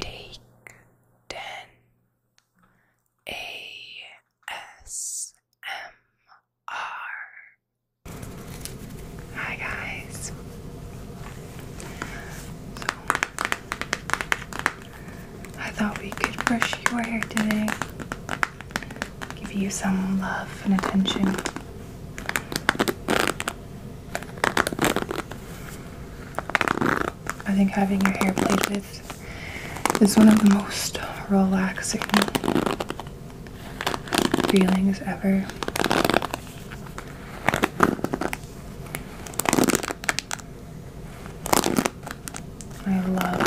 Take 10 ASMR. Hi, guys. I thought we could brush your hair today, give you some love and attention. I think having your hair played with is one of the most relaxing feelings ever. I love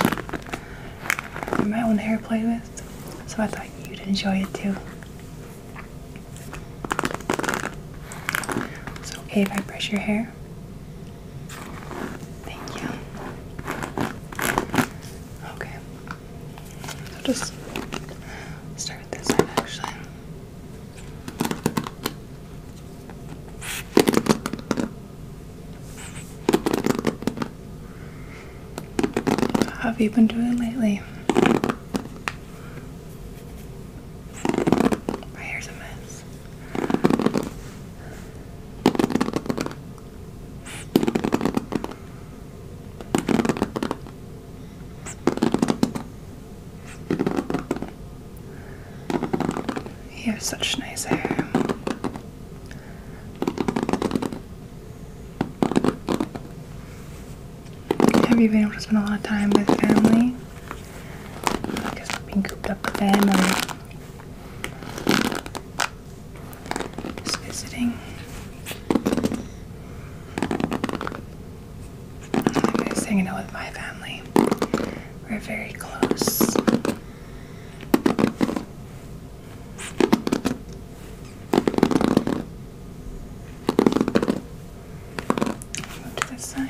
my own hair played with, so I thought you'd enjoy it too. It's okay if I brush your hair. Thank you. Okay. i just start with this side actually. How have you been doing lately? My hair's a mess. You have such nice hair. Have you been able to spend a lot of time with family? I guess not cooped up with family. Just visiting. I'm hanging out with my family. We're very close. To this side.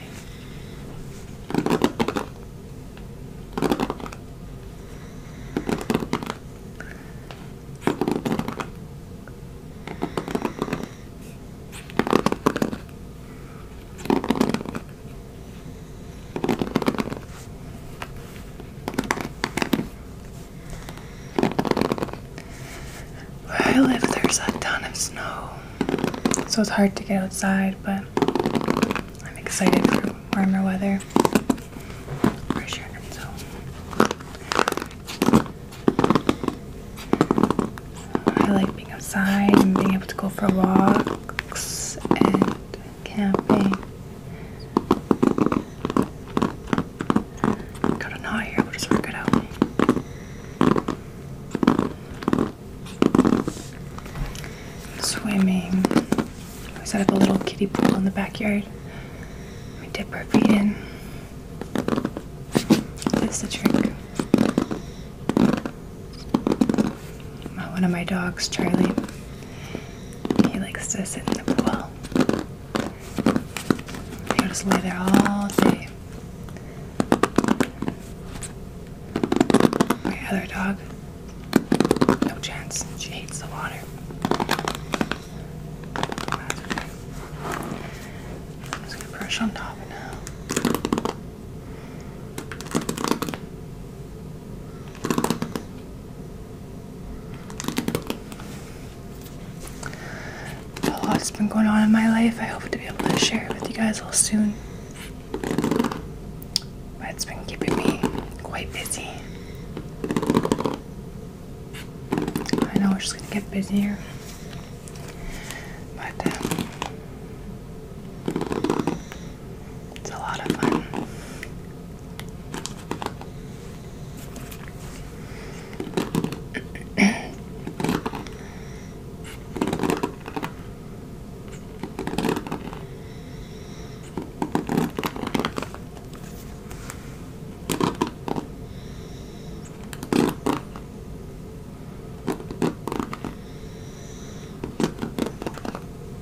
Where I live, there's a ton of snow, so it's hard to get outside, but I'm excited for warmer weather. For so. I like being outside and being able to go for walks and camping. Got a knot here, we'll just work it out. Swimming. We set up a little kiddie pool in the backyard. We dip our feet in. That's the trick. One of my dogs, Charlie, he likes to sit in the pool. He'll just lay there all day. My other dog, no chance. She hates the water. just gonna brush on top now. A lot's been going on in my life. I hope to be able to share it with you guys all soon. But it's been keeping me quite busy. I know it's just gonna get busier. But um, it's a lot of fun.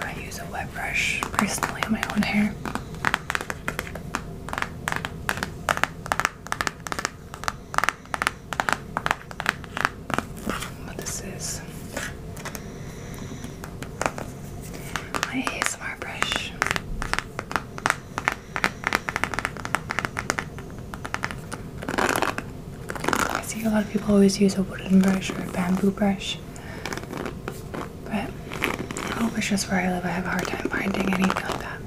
I use a wet brush personally on my own hair. What this is my ASMR brush. I see a lot of people always use a wooden brush or a bamboo brush, but I hope it's just where I live. I have a hard time finding anything like that.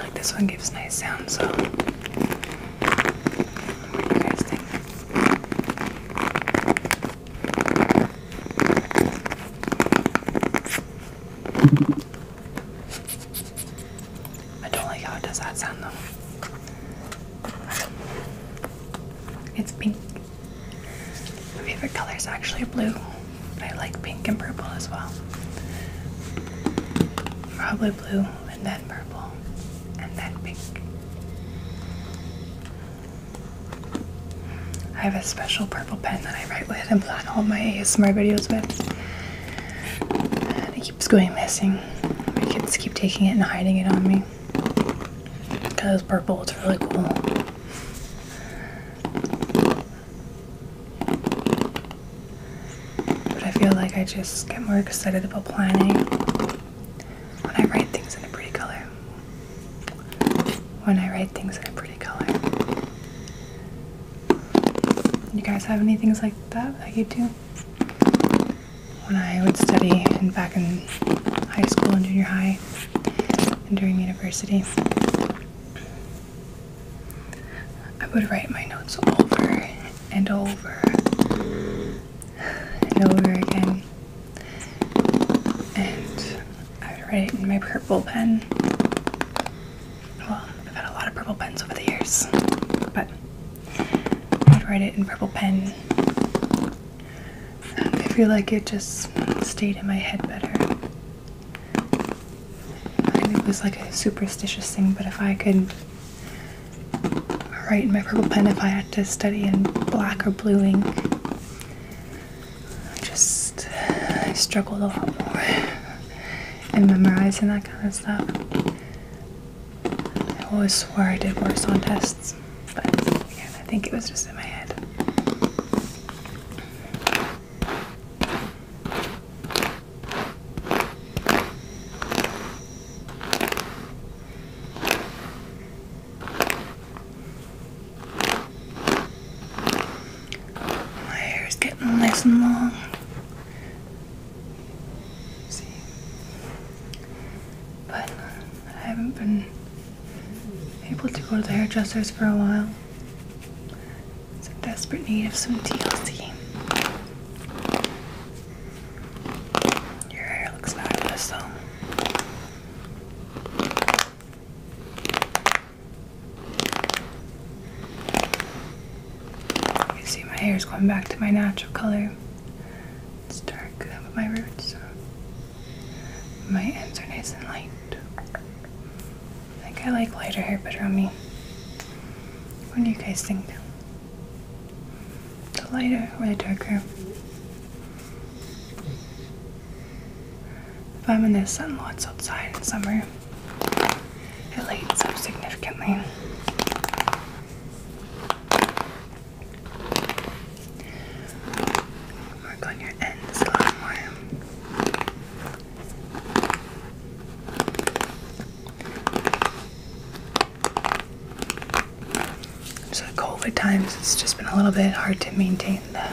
like this one gives nice sound, so what do you guys think? I don't like how it does that sound though. It's pink. My favorite color is actually blue, I like pink and purple as well. Probably blue and then purple and then pink. I have a special purple pen that I write with and plan all my ASMR videos with. And it keeps going missing. My kids keep taking it and hiding it on me. Because purple, it's really cool. But I feel like I just get more excited about planning when I write things in a pretty color. When I write things in a pretty color. You guys have any things like that that you do? When I would study and back in high school and junior high and during university, I would write my notes over and over and over again and I would write it in my purple pen. Well, I've had a lot of purple pens over the years, but I would write it in purple pen. Um, I feel like it just stayed in my head better. it was like a superstitious thing, but if I could or write in my purple pen if I had to study in black or blue ink. I just I struggled a lot more in memorizing that kind of stuff. I always swore I did worse on tests, but I think it was just in my head. My hair is getting nice and long. See? But uh, I haven't been able to go to the hairdressers for a while. It's a desperate need of some TLC. Your hair looks fabulous, though. You see, my hair is going back to my natural color. It's dark with uh, my roots. so uh, My ends are nice and light. I think I like lighter hair better on me. What do you guys think? The lighter or the darker? If I'm in the sun lots outside in summer, it lights up significantly. Work on your ends a lot more. So COVID times, it's just been a little bit hard to maintain the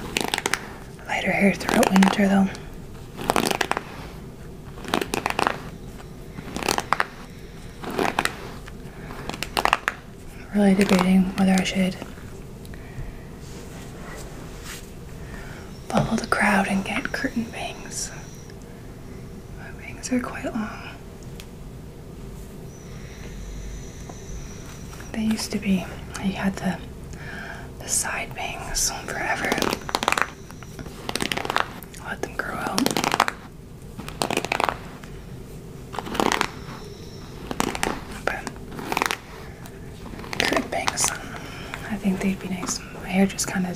lighter hair throughout winter, though. really debating whether I should follow the crowd and get curtain bangs my wings are quite long. They used to be, I had the, the side bangs on forever. Let them grow out. But current bangs, I think they'd be nice. My hair just kind of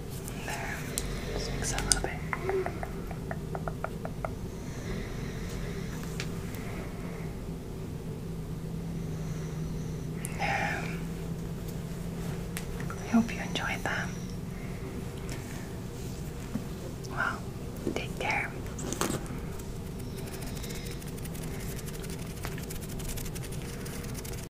There. Just mix a little bit. There. I hope you enjoyed that. Well, take care.